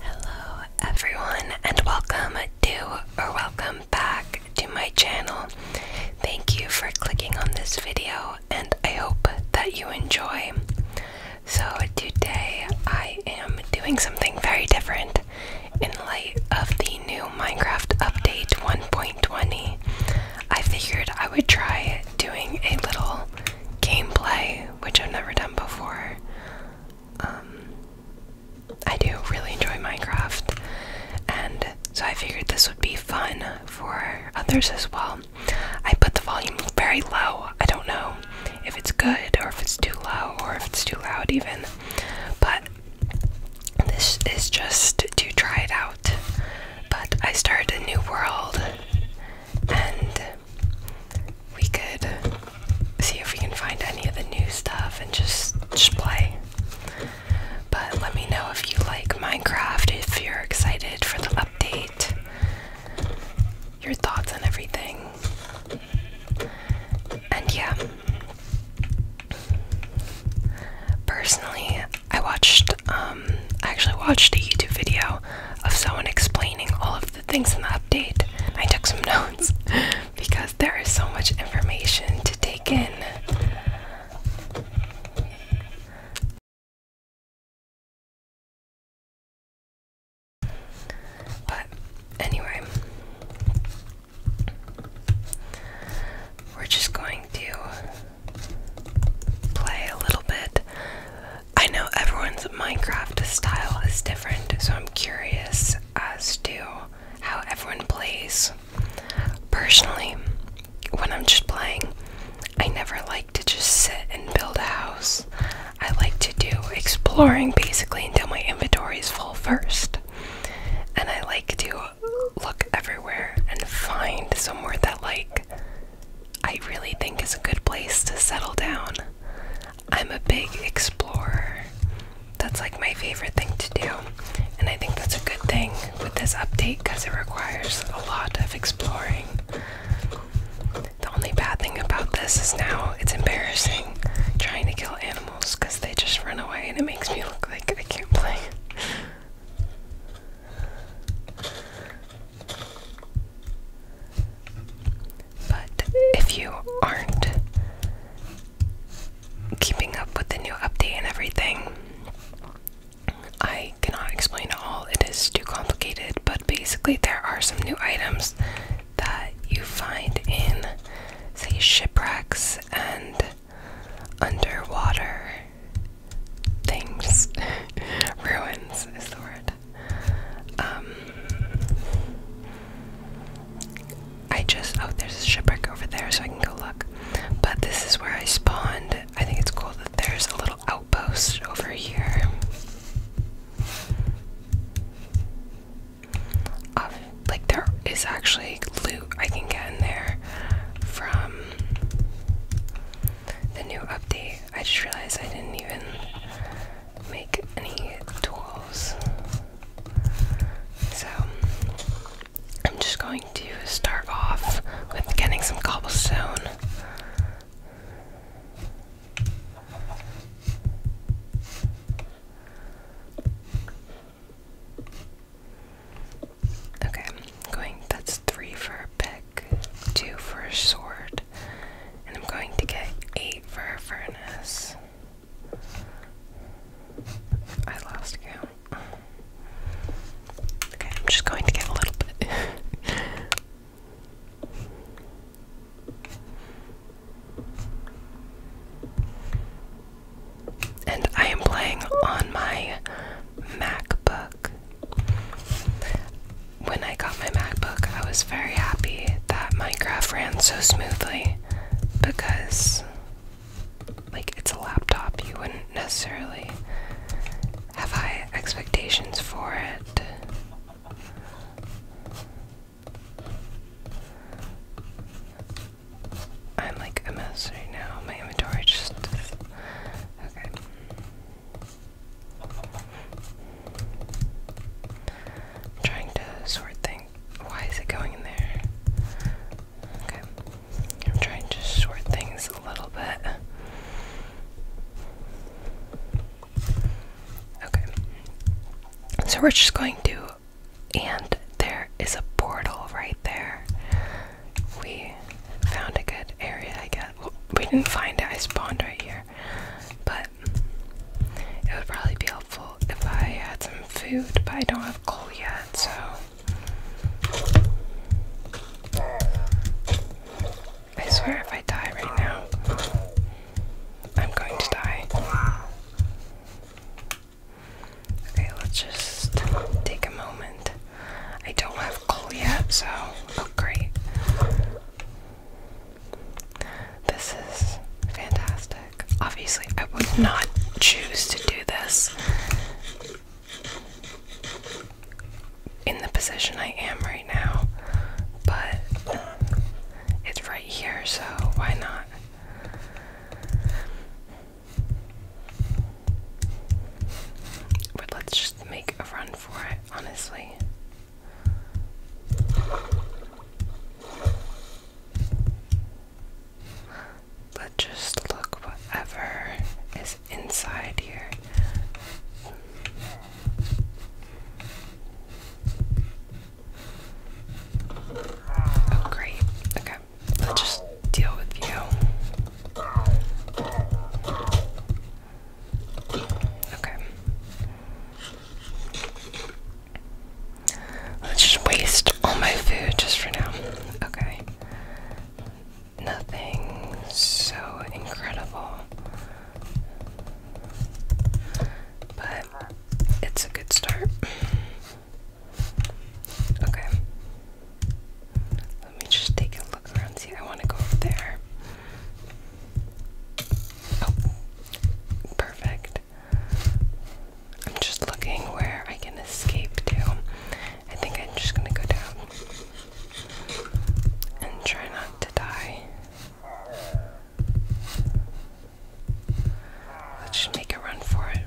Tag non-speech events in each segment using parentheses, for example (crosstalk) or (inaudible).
Hello, everyone, and welcome to or welcome back to my channel. Thank you for clicking on this video, and I hope that you enjoy. So, today I am doing something very different in light of the new Minecraft update 1.20. I figured I would try doing a little gameplay, which I've never done before, um, I do really enjoy Minecraft, and so I figured this would be fun for others as well. I put the volume very low. I don't know if it's good or if it's too low or if it's too loud, even, but this is just to try it out. But I start a new world, and we could see if we can find any of the new stuff and just, play. But let me know if you like Minecraft, if you're excited for the update, your thoughts on everything. And yeah. Personally, I watched um I actually watched a YouTube video of someone explaining all of the the things in the update. I took some notes (laughs) because there is so much information to take in. But anyway, we're just going to play a little bit I know everyone's Minecraft style is different, so I'm curious as to how everyone plays. Personally, when I'm just playing, I never like to just sit and build a house. I like to do exploring basically until my inventory is full first. And I like to look everywhere and find somewhere that like I really think is a good place to settle down. I'm a big explorer. That's like my favorite thing to do. And I think that's a good thing with this update because it requires a lot of exploring. The only bad thing about this is now it's embarrassing trying to kill animals because they just run away and it makes me look like I can't play. But if you aren't keeping up with the new update and everything, I cannot explain it all. It is too complicated, but basically, there are some new items that you find in, say, shipwrecks and underwater things. (laughs) Ruins is the word. Um, I just oh, there's a shipwreck over there, so I can go look. But this is where I spawned. I think it's cool that there's a little outpost over here. like there is actually loot I can get in there from the new update. I just realized I didn't even make any tools. So I'm just going to start off with getting some cobblestone. Okay, going that's three for a pick two for a sword, and I'm going to get eight for a furnace. I lost count. Okay, I'm just going to get a little bit. (laughs) and I am playing on my MacBook. When I got my MacBook, I was very happy that my Minecraft ran so smoothly because, like, it's a laptop. You wouldn't necessarily have high expectations for it. I'm like a mess right now. My inventory just. Okay trying to sort things. Why is it going in there? Okay. I'm trying to sort things a little bit. Okay. So we're just going to. And there is a portal right there we found a good area, I guess. we didn't find it, I spawned right here. But it would probably be helpful if I had some food, but I don't have coal yet, so. I swear if I die right now, I'm going to die. Okay, let's just take a moment I don't have coal yet, so oh great. This is fantastic. Obviously, I would not choose to do this in the position I am right now, but um, it's right here, so why not? But let's just make a run for it, honestly. Let's just look whatever is inside here. Oh, great. Okay. I'll just deal with you. Okay. Let's just waste all my food just for now. Okay. Nothing so incredible. But it's a good start. Okay. Let me just take a look around. See, I want to go over there. Oh, perfect. I'm just looking where I can escape to. I think I'm just gonna go down and try not to die. Let's just make a run for it.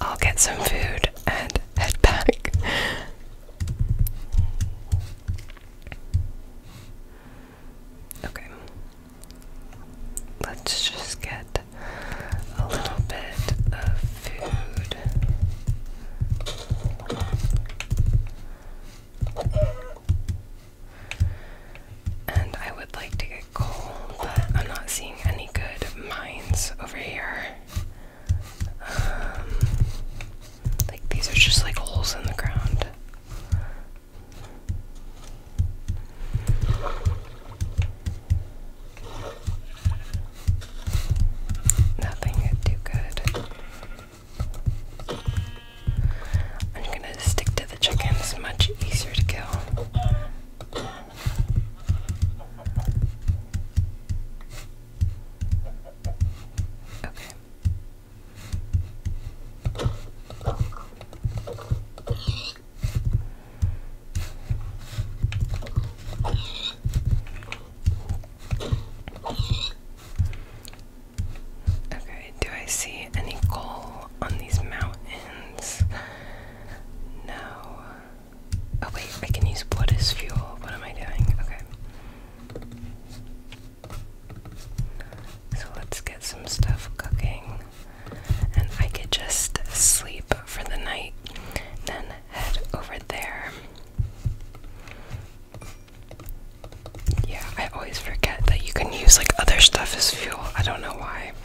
I'll get some food and head back. okay. Let's just get a little bit of food. And I would like to coal, I'm not seeing any good mines over here. Um, like these are just like holes in the ground. Nothing too good. I'm gonna stick to the chickens, much easier to kill. Okay. Okay, do I see any coal on these mountains? Now, oh wait, I can use wood as fuel. What am I doing? Okay. So let's get some stuff cooking. And I could just sleep for the night, then head over there. Yeah, I always forget that you can use like other stuff as fuel. I don't know why.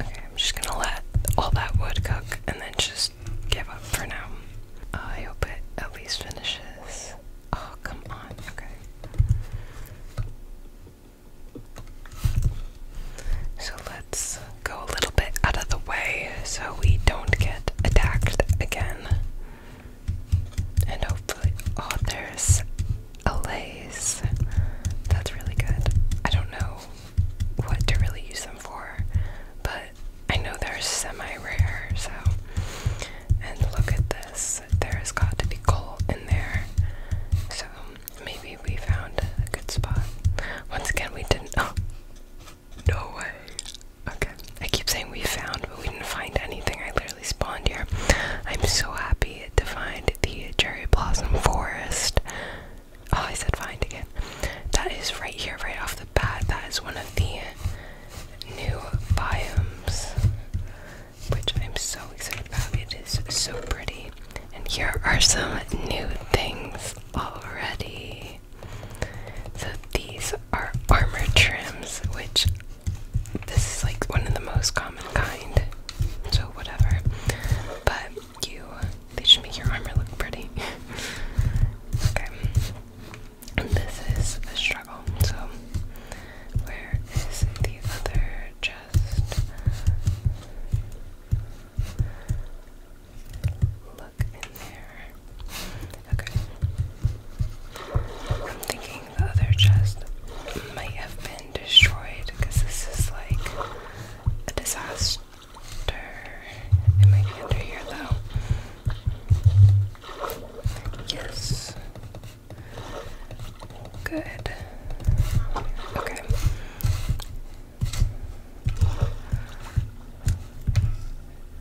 Okay, I'm just gonna let all that wood cook and then just give up for now. I hope it at least finishes. Oh, come on. Okay. So let's go a little bit out of the way so we don't get attacked again and hopefully, oh, there's a lace. That's really good. I don't know what to really use them for, but I know they're semi-rare. So, and look at this. There's got to be coal in there. So maybe we found a good spot. Once again, we didn't. Oh, no way. Okay. I keep saying we found, but we didn't find anything. I literally spawned here. I'm so happy to find the cherry blossom forest. Oh, I said find again. That is right here, right off the bat. That is one of the new biomes, which I'm so excited about. It is so pretty. And here are some new things already. So these are armor trims, which this is like one of the most common kind. So whatever. But you they should make your armor look pretty. (laughs) okay. this is a struggle. So where is the other chest? Okay. I'm thinking the other chest might have been destroyed because this is like a disaster. It might be under here though. Yes. Good. Okay. Okay.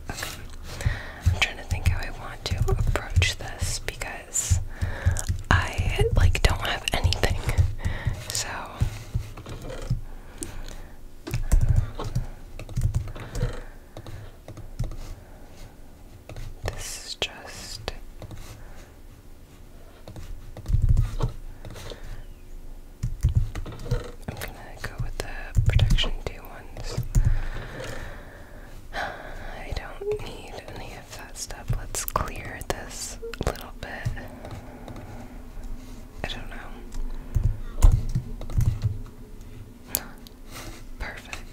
I'm trying to think how I want to approach this because I like don't have anything. So uh, this is just I'm gonna go with the protection two ones. (sighs) I don't need any of that stuff. Let's clear this little bit. I don't know. (sighs) Perfect.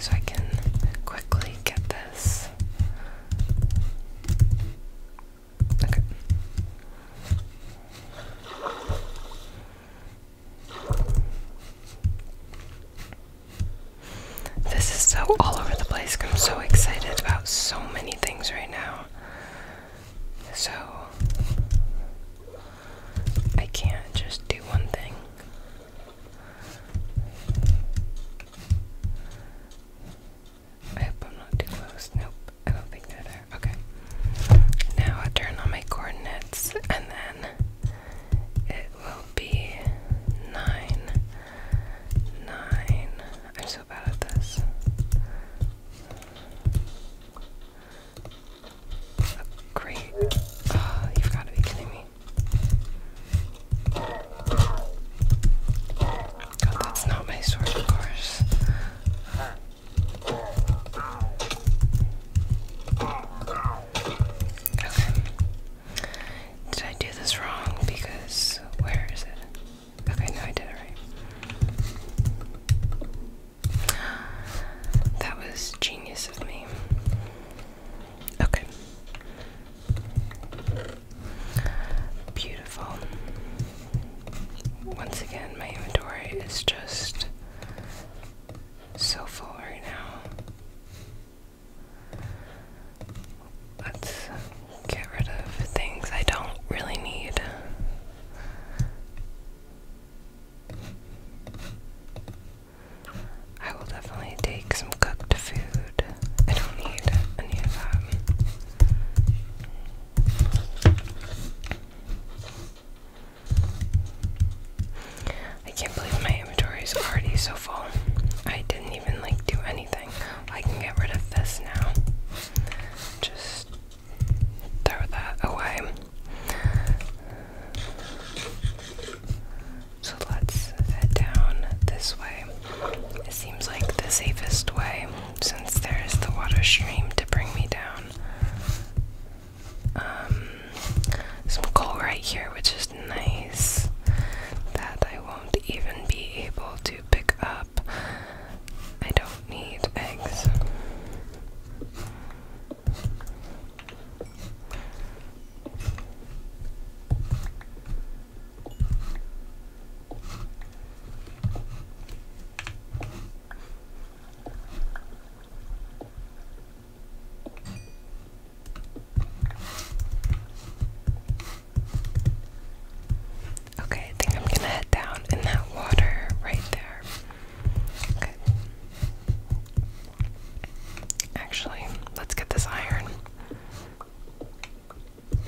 So I can quickly get this. This is so all over the place. I'm so excited about so many things right now. So, I can't just do one thing. I hope I'm not too close. Nope, I don't think they're there. Okay. Now I turn on my coordinates and then it will be nine. Nine. I'm so bad at this. great. Oh, you've got to be kidding me. Oh, that's not my sword, of course. Okay. Did I do this wrong? Because where is it? Okay, no, I did it right. That was genius of me. Okay. Beautiful. Once again, my inventory is just so full right now. Let's get rid of things I don't really need. I will definitely take some cooked food. I don't need any of that. I can't believe my inventory is already so full. I didn't even like do anything. I can get rid of this now. Just throw that away. So let's head down this way. It seems like the safest way since there is the water stream to bring me down. Um, some coal right here, which is nice. That I won't even be able to pick up. I don't need eggs. Okay, I think I'm gonna head down in that water right there. Okay. Actually, let's get this iron. Okay.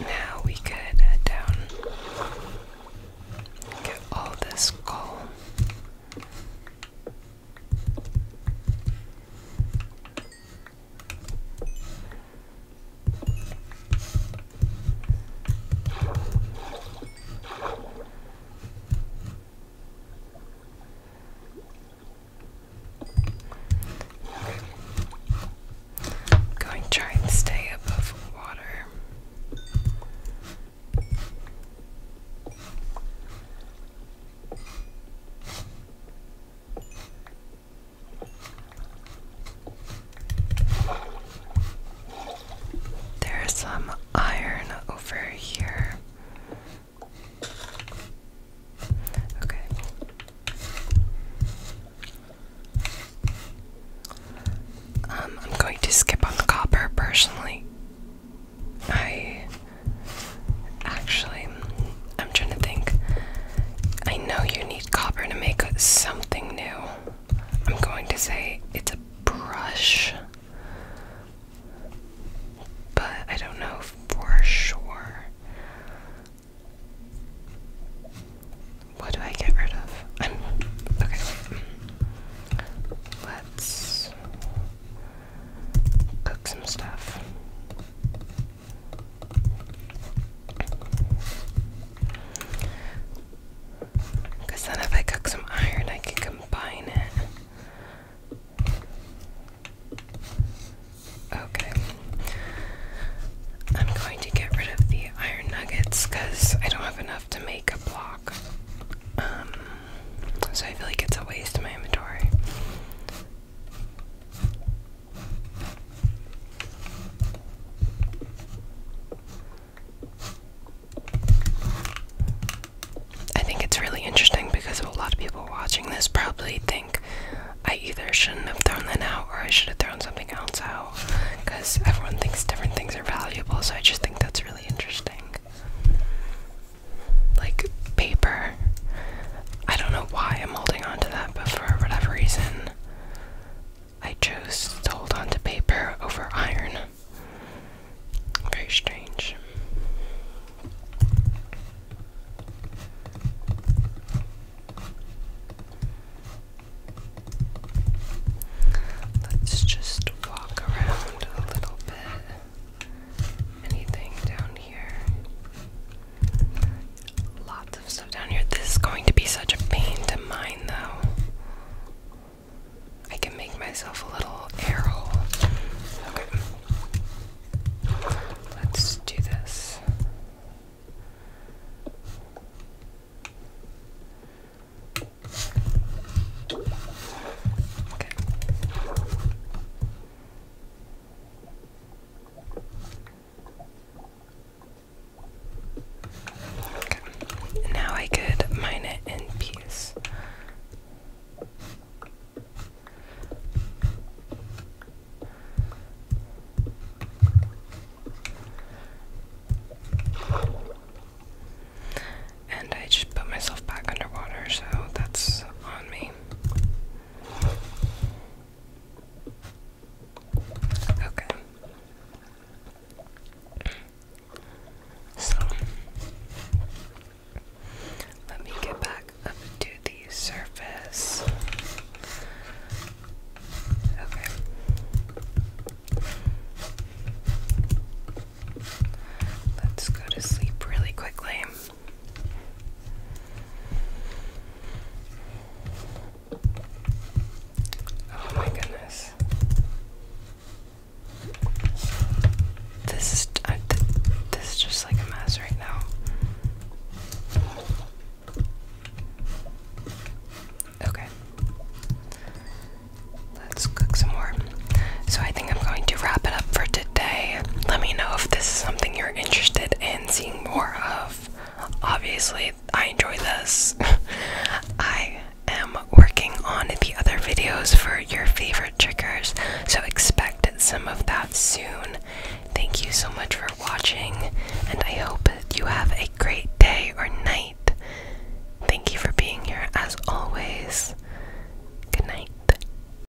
Now we could down, get all this coal. I'm going to try and stay above water. There's some iron over here. Okay. Um, I'm going to skip on the copper personally. I actually I'm trying to think. I know you need copper to make something new. I'm going to say it's a brush. But I don't know for sure. What do I get rid of? I'm okay. Let's cook some stuff. Because then, if I cook some iron, I can combine it. Okay. I'm going to get rid of the iron nuggets because I don't have enough to make a block. Um, so I feel like it's a waste of my inventory. I think it's really interesting because a lot of people watching this probably think I either shouldn't have thrown that out or I should have thrown something else out because everyone thinks different things are valuable, so I just think that's really interesting. Like paper I don't know why I'm holding on to that, but for whatever reason, I chose to hold on to paper over iron. Very strange. Let's just walk around a little bit. Anything down here? Lots of stuff down here. This is going to be such a pain to mine, though. I can make myself a little air hole. Okay. Let's do this. Okay. Now I could mine it in peace. And I just put myself back underwater, so that's on me. Okay. So let me get back up to the surface. Okay. Let's go to sleep really quickly. Oh my goodness. This is this is just like a mess right now. Okay. Let's cook some more. So I think I'm going to wrap it up for today. Let me know if this is something you're interested in seeing more of, obviously, I enjoy this. (laughs) I am working on the other videos for your favorite trickers, so expect some of that soon. Thank you so much for watching, and I hope you have a great day or night. Thank you for being here as always. Good night.